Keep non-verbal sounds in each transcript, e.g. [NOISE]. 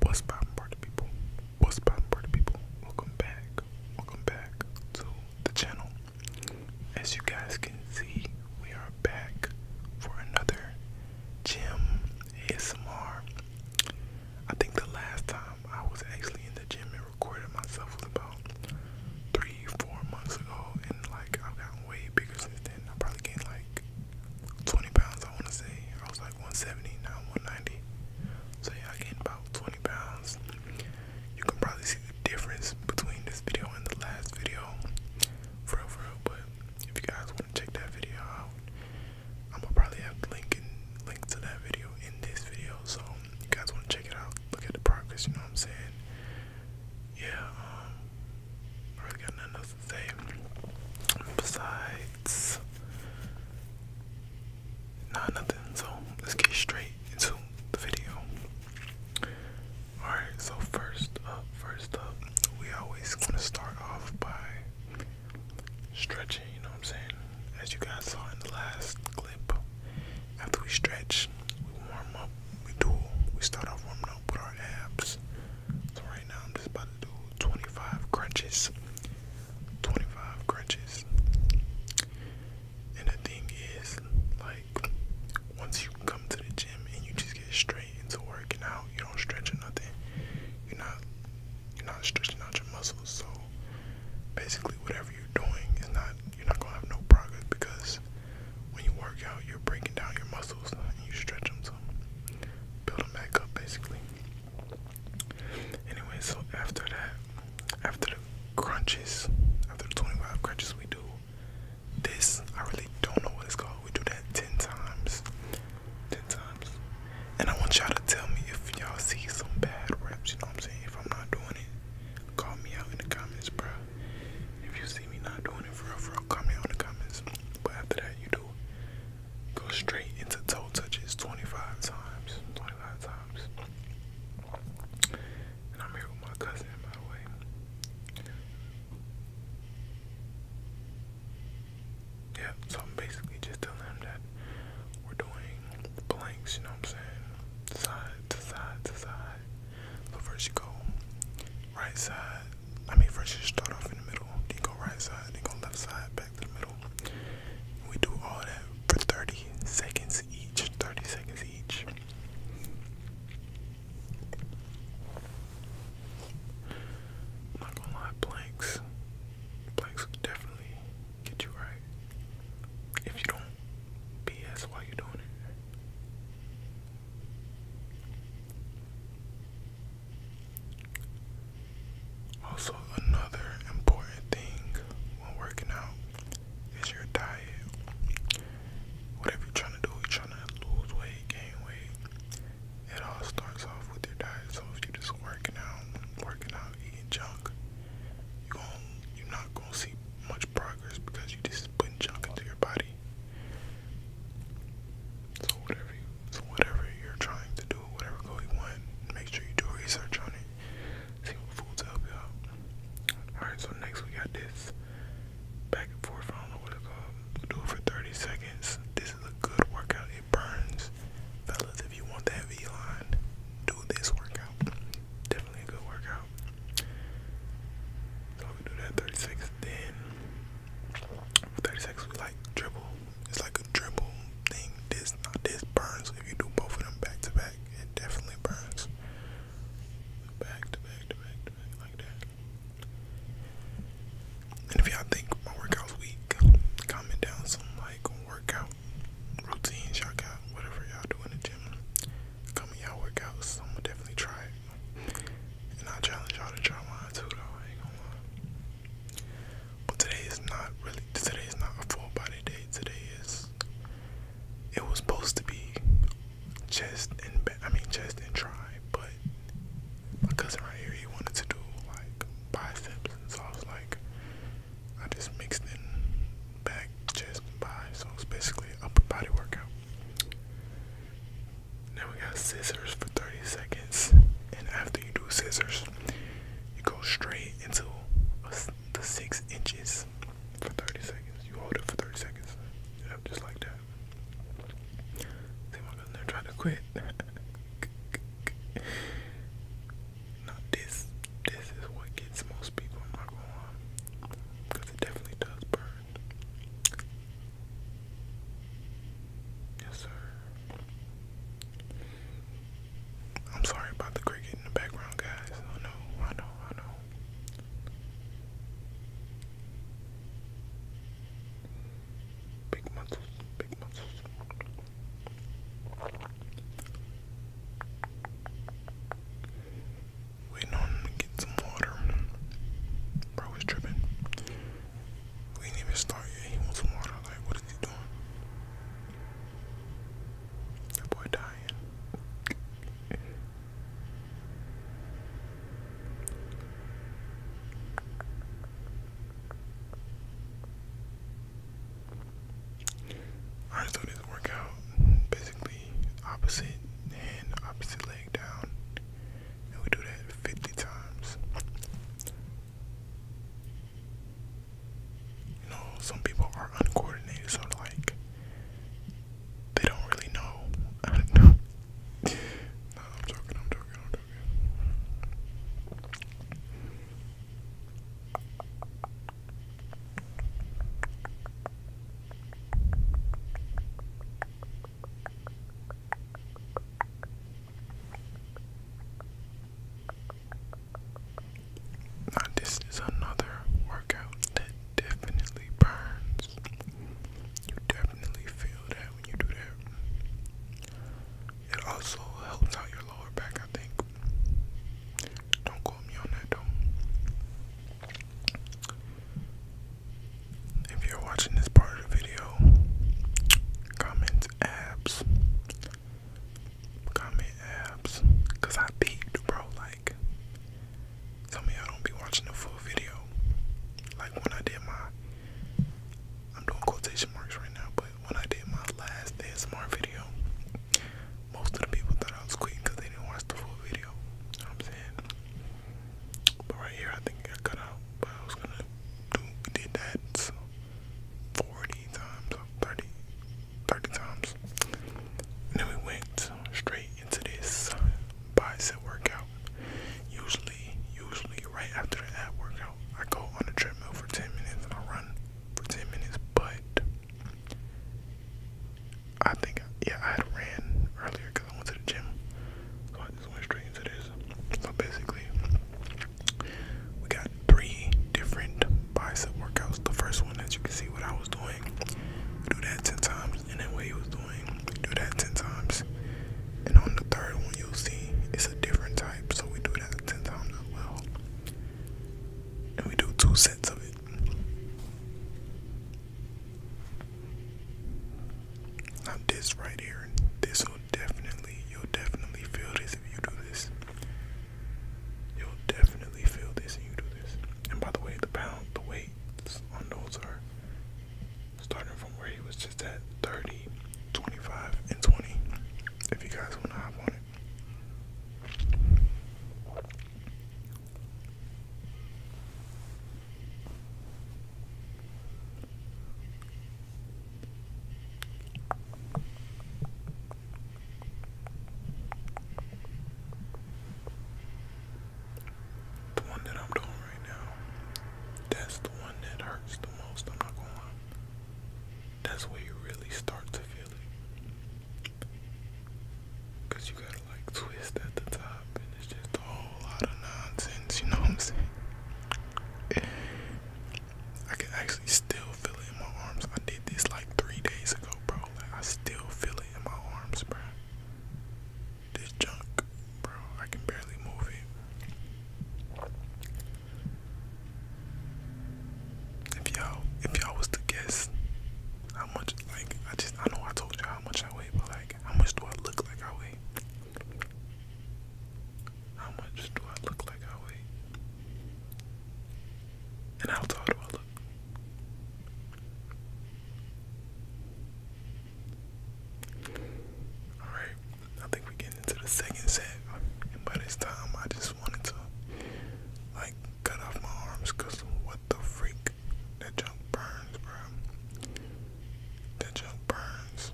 What's poppin' party people? What's poppin' party people? Welcome back. Welcome back to the channel. As you guys can see, we are back for another gym ASMR. I think the last time I was actually in the gym and recorded myself was about three, four months ago and like I've gotten way bigger since then. I probably gained like 20 pounds, I want to say. I was like 170, now 190. So, yeah, I gained about 20 pounds. You can probably see the difference between this video and the last video. For real, But if you guys want to check that video out, I'm gonna probably have the link, in, link to that video in this video. So, you guys want to check it out, look at the progress, you know what I'm saying? Yeah, um, Really got nothing else to say. Besides, nah, nothing. So let's get straight into the video. Alright, so first up, first up, we always gonna start off by stretching, you know what I'm saying? As you guys saw in the last clip, after we stretch, we warm up, we do, we start off warming up with our abs. So right now I'm just about to do 25 crunches. 25 crunches. And the thing is, like, once you come to the gym and you just get straight into working out, you don't stretch or nothing. You're not you're not stretching out your muscles, so basically whatever you're doing is not you're not gonna have no progress because when you work out you're breaking down your muscles and you stretch them so build them back up basically. Anyway, so after that, after the crunches, after the 25 crunches, we do this. I really don't know what it's called. We do that 10 times. 10 times. And I want y'all to tell me if y'all see some bad reps, you know what I'm saying? If I'm not doing it, call me out in the comments, bro. If you see me not doing it for real, for real, call me out in the comments. But after that, you do Go straight into toe touches 25 times. 25 times. And I'm here with my cousin, by the way. Yeah, so I'm basically just telling him that we're doing blanks, you know what I'm saying? Side to side to side. So first you go right side I mean, first you start off in the middle, then go right side, then go left side, back to the middle. We do all that for 30 seconds each, 30 seconds each. not gonna lie, planks. Planks definitely get you right. If you don't BS while you doing it. Also, another important thing when working out is your diet. Whatever you're trying to do, you're trying to lose weight, gain weight. It all starts off with your diet. So if you're just working out, working out, eating junk, you are not gonna see much progress because you are just putting junk into your body. So whatever you, so whatever you're trying to do, whatever goal you want, make sure you do research on it. See what foods help out. Alright, so next we got this back and forth. I don't know what it's called. do it for 30 seconds. This is a good workout. It burns. Fellas, if you want that V line, do this workout. Definitely a good workout. So we do that 30 30 seconds we like dribble. It's like a dribble thing. This not this burns. If you do both of them back to back, it definitely burns. Back to back to back to back like that. And if y'all think my workout's weak, comment down some like workout routines y'all got, whatever y'all do in the gym. Comment y'all workouts. I'm gonna definitely try it. And I challenge y'all to try mine too, though. But today is not really. Today is not a full body day. Today is. It was supposed to be chest and I mean chest and try, but my cousin right here he wanted to do like biceps, so I was like, I just mixed in back, chest, and So it's basically upper body workout. Now we got scissors for 30 seconds, and after you do scissors, you go straight into the six inches for 30 seconds. You hold it for 30 seconds, just like that. See, my cousin never to quit. [LAUGHS] Now this, this is what gets most people. not gonna because it definitely does burn. Yes, sir. I'm sorry about the cricket in the background, guys. I know, I know, I know. Big muscles, big muscles. Waiting on to get some water. Bro is tripping. We didn't even start yet. He wants water. Like, what is he doing? That boy dying. Alright, so this workout basically opposite hand, opposite leg leg down. And we do that 50 times. You know, some people are uncoordinated, so like they don't really know. I don't know. I'm joking, I'm joking, this is another workout that definitely burns. You definitely feel that when you do that. It also helps out your lower back, I think. Don't quote me on that, though. If you're watching this part of the video, comment abs. Comment abs. I peeped, bro. Like, some of y'all don't be watching the full video. Like when I did my, I'm doing quotation marks right now, but when I did my last ASMR video, most of the people thought I was quitting they didn't watch the full video. I'm saying? But right here, I think I cut out. But I was gonna do, we did that 40 times, 30, times. then we went straight into this uh, bicep workout. Usually, usually right after the ab workout, I go on the treadmill for 10 minutes and I run for 10 minutes, but I think, yeah, I had ran earlier I went to the gym. So I just went straight into this. So basically, we got three different bicep workouts. The first one, that you can see, what I was doing, we do that 10 times, and then what he was doing, we do that 10 times. And on the third one, you'll see it's a different type, so we do that 10 times as well. And we do two sets of it. Now this right here, this will definitely, you'll definitely feel this if you do this. You'll definitely feel this if you do this. And by the way, the pound, the weights on those are starting from where he was just at 30, 25, and 20. If you guys want to hop on it. The one that I'm doing right now, that's the one that hurts the most. I'm not going. That's where you really start to feel it. Cause you gotta like twist at the top it's just a whole lot of nonsense, you know what I'm saying? I can actually still feel it in my arms. I did this like three days ago, bro. Like, I still feel it in my arms, bro. This junk, bro, I can barely move it. If y'all, if y'all was to guess how much, like, I just, I know I told you how much I weigh, but like, how much do I look like I weigh? How much do I look like I weigh? And how tall do I look? Alright, I think we're getting into the second set. And this time, I just wanted to, like, cut off my arms because what the freak? That junk burns, bro. That junk burns.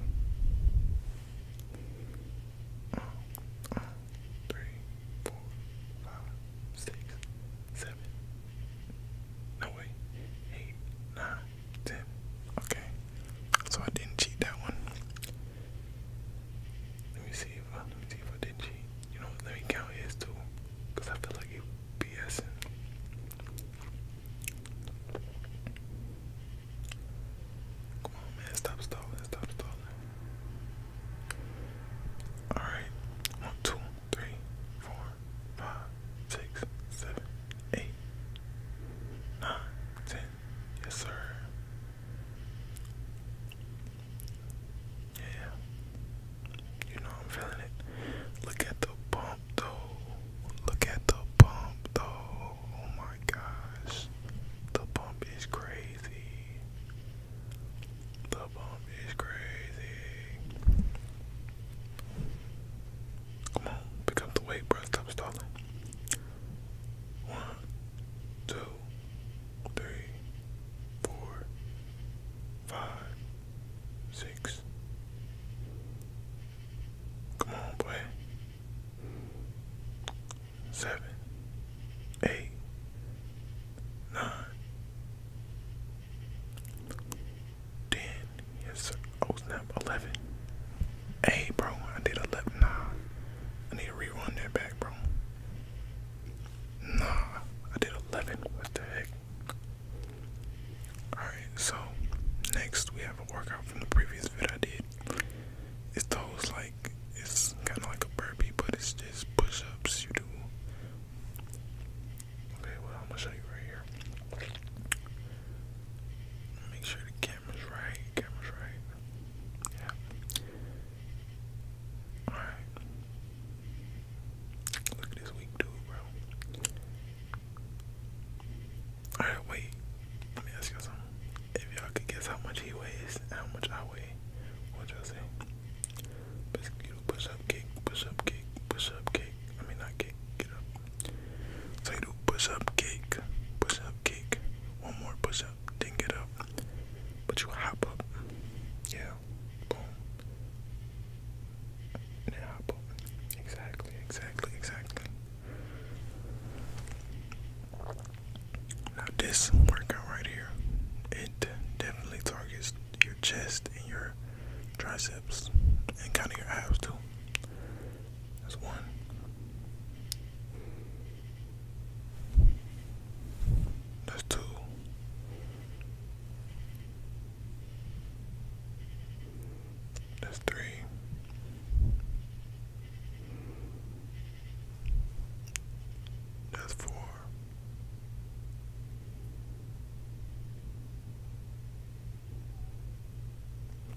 three, four, five, six, seven. No way. Eight, nine, ten. Okay. So I didn't cheat that one. Let me see if I let me see if I didn't cheat. You know, let me count his too. Cause I feel like he BSing. Come on, man. Stop stalling. Stop stalling. Alright. One, two, three, four, five, six, seven, eight, nine, ten. Yes, sir. Yeah. You know I'm feeling it. Look at the bone though. Look at the pump though. Oh my gosh. The pump is crazy. The pump is crazy. Come on, pick the weight, bro. Stop stalling. One, two, three, four, five, six, Come on, boy. Seven, eight, nine, ten. Yes, Oh snap, eleven. Hey, bro, I did eleven. Nah, I need to rerun that back, bro. Nah, I did eleven. What the heck? Alright, so next we have a workout from the previous vid I did. It's those like, it's kind of like a burpee, but it's just push you do. Okay, well, I'm gonna show you right here. Make sure the camera's right, camera's right. Yeah. Alright. Look at this weak dude, bro. All right, wait. Let me ask you something. If y'all could guess how much he weighs and how much I weigh, what y'all say? Basically, push up, kick, push up, kick, push up, kick. I mean, not kick, get up. So you do push up, kick, push up, kick. One more push up, then get up. But you hop up. Yeah. Boom an apple. Exactly, exactly, exactly. this workout right here, it definitely targets your chest and your triceps and kind of your abs too. That's one. That's two. That's three. That's four.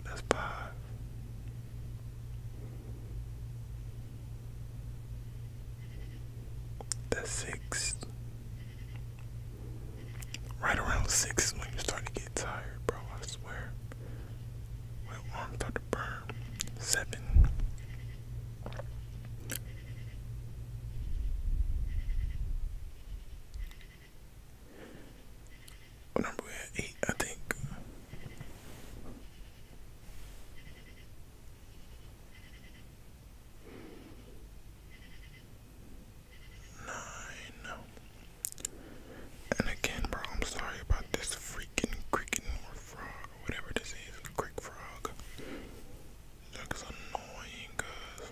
That's five. That's six. Right around six when you start to get tired, bro. I swear. My arms start to burn. Seven. What number Eight, I think nine. And again, bro, I'm sorry about this freaking cricket or frog or whatever this is, creek frog. Looks annoying, cause.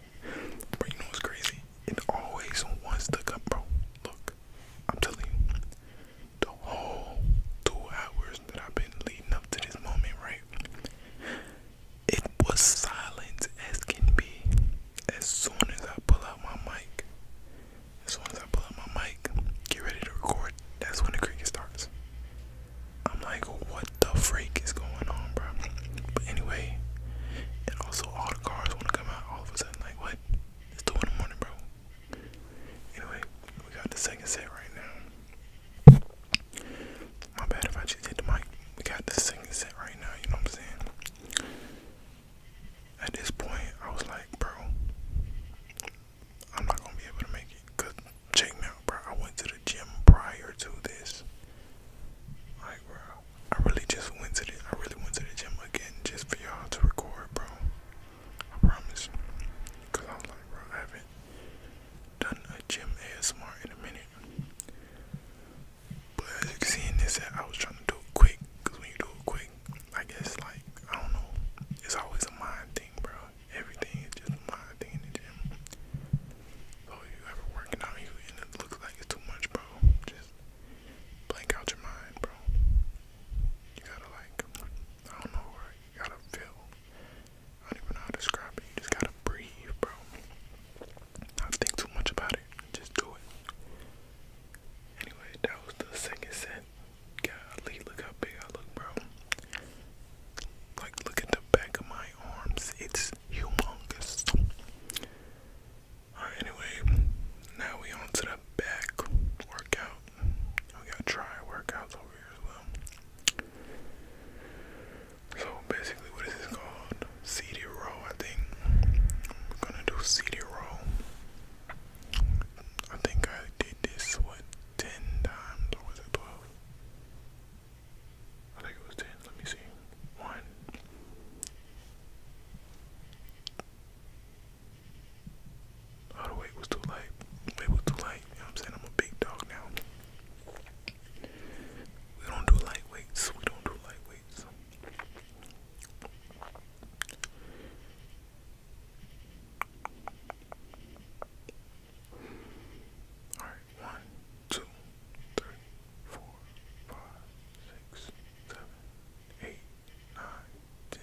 But you know what's crazy? It always wants to come, bro. Look, I'm telling you, the whole two hours that I've been leading up to this moment, right? It was silent as can be. As soon as I pull out my mic, as soon as I pull out my mic, get ready to record, that's when the cricket starts. I'm like, what the freak is going on, bro? But anyway, and also all the cars want to come out all of a sudden. Like, what? It's two in the morning, bro. Anyway, we got the second set right now. My bad if I just hit the mic. We got the second set right now. You know what I'm saying? At this point, I was like, bro, I'm not gonna be able to make it. Cause check me out, bro. I went to the gym prior to this. Like, bro, I really just went to the, I really went to the gym again just for y'all to record, bro. I promise. Cause I I'm like, bro, I haven't done a gym ASMR in a minute. But as you can see in this, I was trying to do it quick. Cause when you do it quick, I guess like I don't know. It's always a mind thing, bro. Everything is just a mind thing if you ever working out, you and it looks like it's too much, bro. Just blank out your mind, bro. You gotta like, I don't know, right? You gotta feel. I don't even know how to describe it. You just gotta breathe, bro do Not think too much about it. Just do it. Anyway, that was the second set. Golly, look how big I look, bro. Like, look at the back of my arms. It's humongous. Alright, anyway, now we on the back workout. We got try workouts over here as well. So basically, what is this called? CD roll, I think. I'm gonna do CD roll. I think I did this what ten times or was it twelve? I think it was ten. Let me see. One. Oh, the wait was too late. It was too light. You know what I'm saying? I'm a big dog now. We don't do lightweights. We don't do lightweights plates. All right, one, two, three, four, five, six, seven, eight, nine, ten.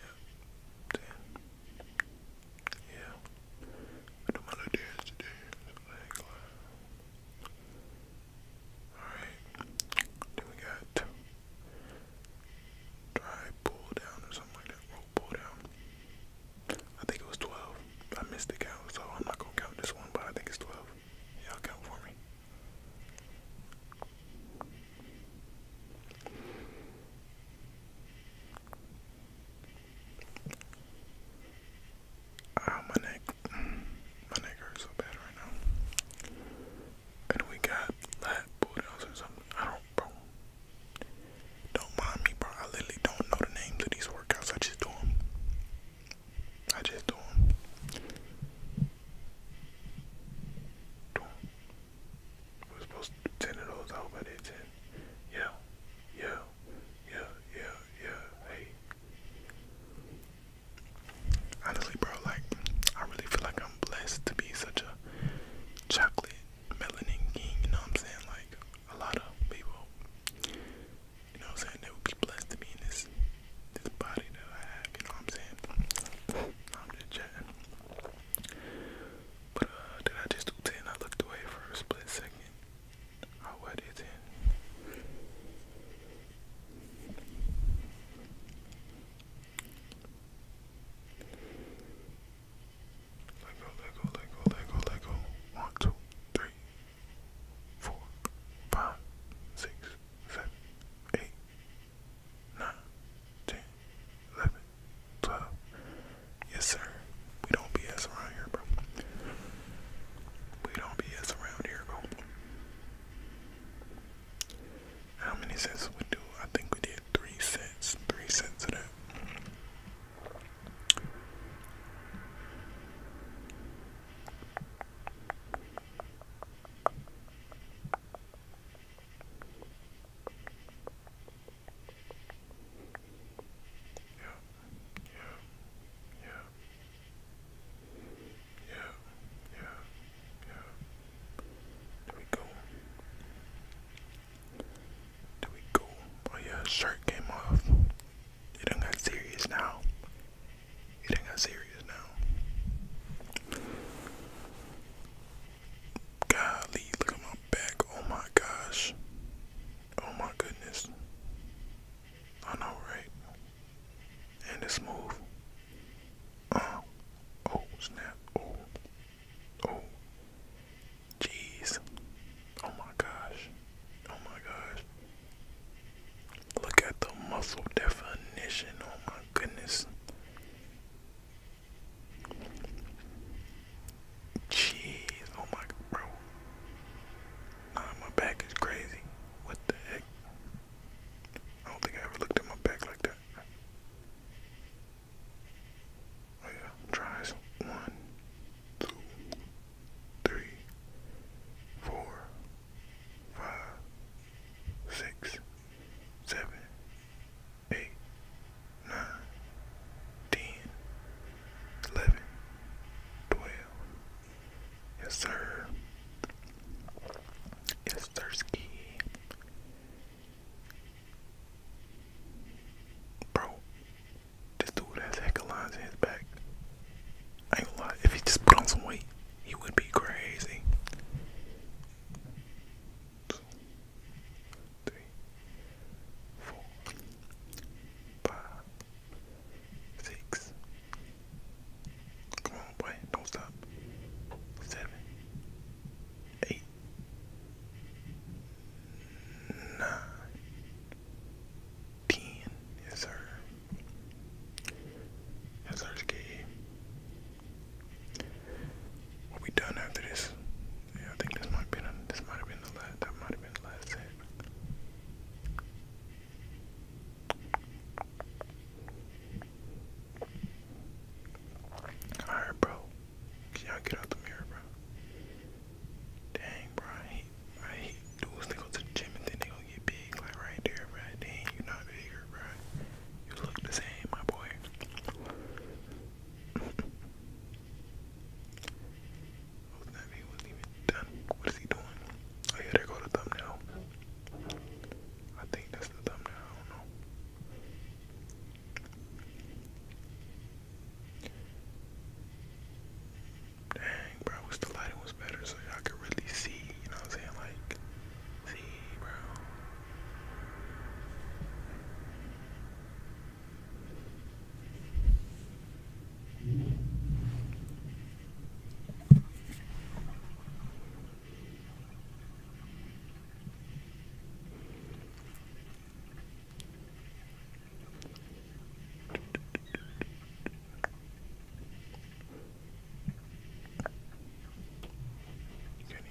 Yep, ten. Yeah. I do my little dance today. Alright. Then we got try pull down or something like that. pull down. I think it was 12. I missed the count, so I'm not gonna count this one, but I think it's 12. Y'all count for me. Oh, my neck. My neck hurts so bad right now. And we got lab bootles or something. I don't, bro. Don't mind me, bro. I literally don't know the names of these workouts. I just do them. I just do them. Do them. We're supposed to do 10 of those. I hope I did 10. Yeah. Yeah yeah, yeah, yeah. Hey, honestly, bro, like I really feel like I'm blessed to be such a chocolate melanin king. You know what I'm saying? Like a lot of people, you know what I'm saying, they would be blessed to be in this this body that I have. You know what I'm saying? I'm just chatting. But uh, did I just do ten? I looked away for a split second. I oh, wear it in. Let go, let go, let One, two, three, four, five, six, seven, eight, nine, ten, eleven, twelve. Yes, sir. We don't BS around here, bro. We don't BS around here, bro. How many sets we do? I think we did three sets. Three sets of that. Yeah, yeah, yeah, yeah, yeah. There we go. There we go. Oh yeah, shirt came off. It done got serious now. It done got serious now. Golly, look at my back. Oh my gosh. Oh my goodness. I know, right? And it's smooth. Uh, oh, snap. Oh, oh. Jeez. Oh my gosh. Oh my gosh. Look at the muscle definition. Oh my goodness. Jeez. Oh my, bro. Nah, my back is crazy. What the heck? I don't think I ever looked at my back like that. Oh yeah, tries. One, two, three, four, five, six, seven, eight, nine, ten, eleven, twelve. Yes, sir. Yes, Thirsky. Bro, this dude has heck of lines in his back. I ain't gonna lie, if he just put on some weight, he would be crazy. Two, three, four, five. Six. Come on, boy. Don't stop. Seven. Eight. Nine. Ten. Yes, sir. Yes, sir, Skate. What we done after this? Yeah, I think this might been this might have been the last that might have been the last set. Alright, bro. Can y'all get out the mirror, bro? Dang, bro. I I hate dudes that go to the gym and then they going get big, like right there, bro. Dang, you're not bigger, bro. You look the same, my boy. [LAUGHS] Oh, What is he doing? Oh yeah, there go the thumbnail. I think that's the thumbnail. Dang, bro, I wish the lighting was better so you could really see, you know what I'm saying? Like, see, bro. Can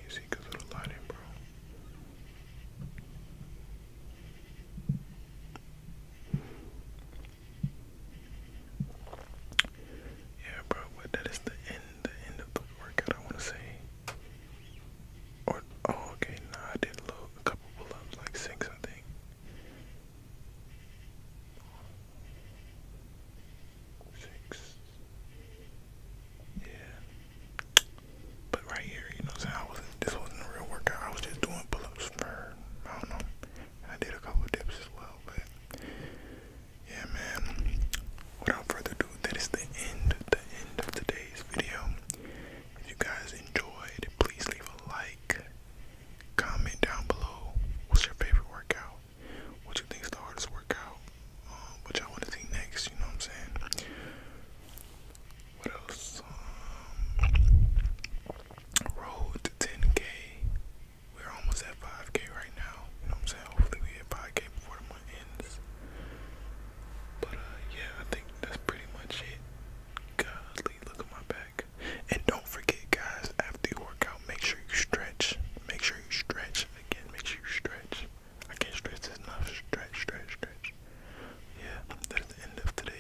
you see good little lighting, bro? Yeah, bro, but that is the end, the end of the workout, I want to say. oh, okay, nah, I did a little, couple pull-ups, like six, I think. Six. Yeah. But right here, you know i was this wasn't a real workout. I was just doing pull-ups for I don't know. I did a couple dips as well, but yeah, man. Without further ado, that is the end, the end of today's video. If you guys enjoyed, please leave a like, comment down below. What's your favorite workout? What you think is the hardest workout? Um, what y'all want to see next? You know what I'm saying? What else? Um, road to 10K. We're almost at 5K right now. You know what I'm saying? Hopefully we hit 5K before the month ends. But uh, yeah, I think that's pretty much it. Godly, look at my back. And don't forget, guys, after you work out, make sure you stretch. Make sure you stretch. Again, make sure you stretch. I can't stretch this enough. Stretch, stretch, stretch. Yeah, that's the end of today.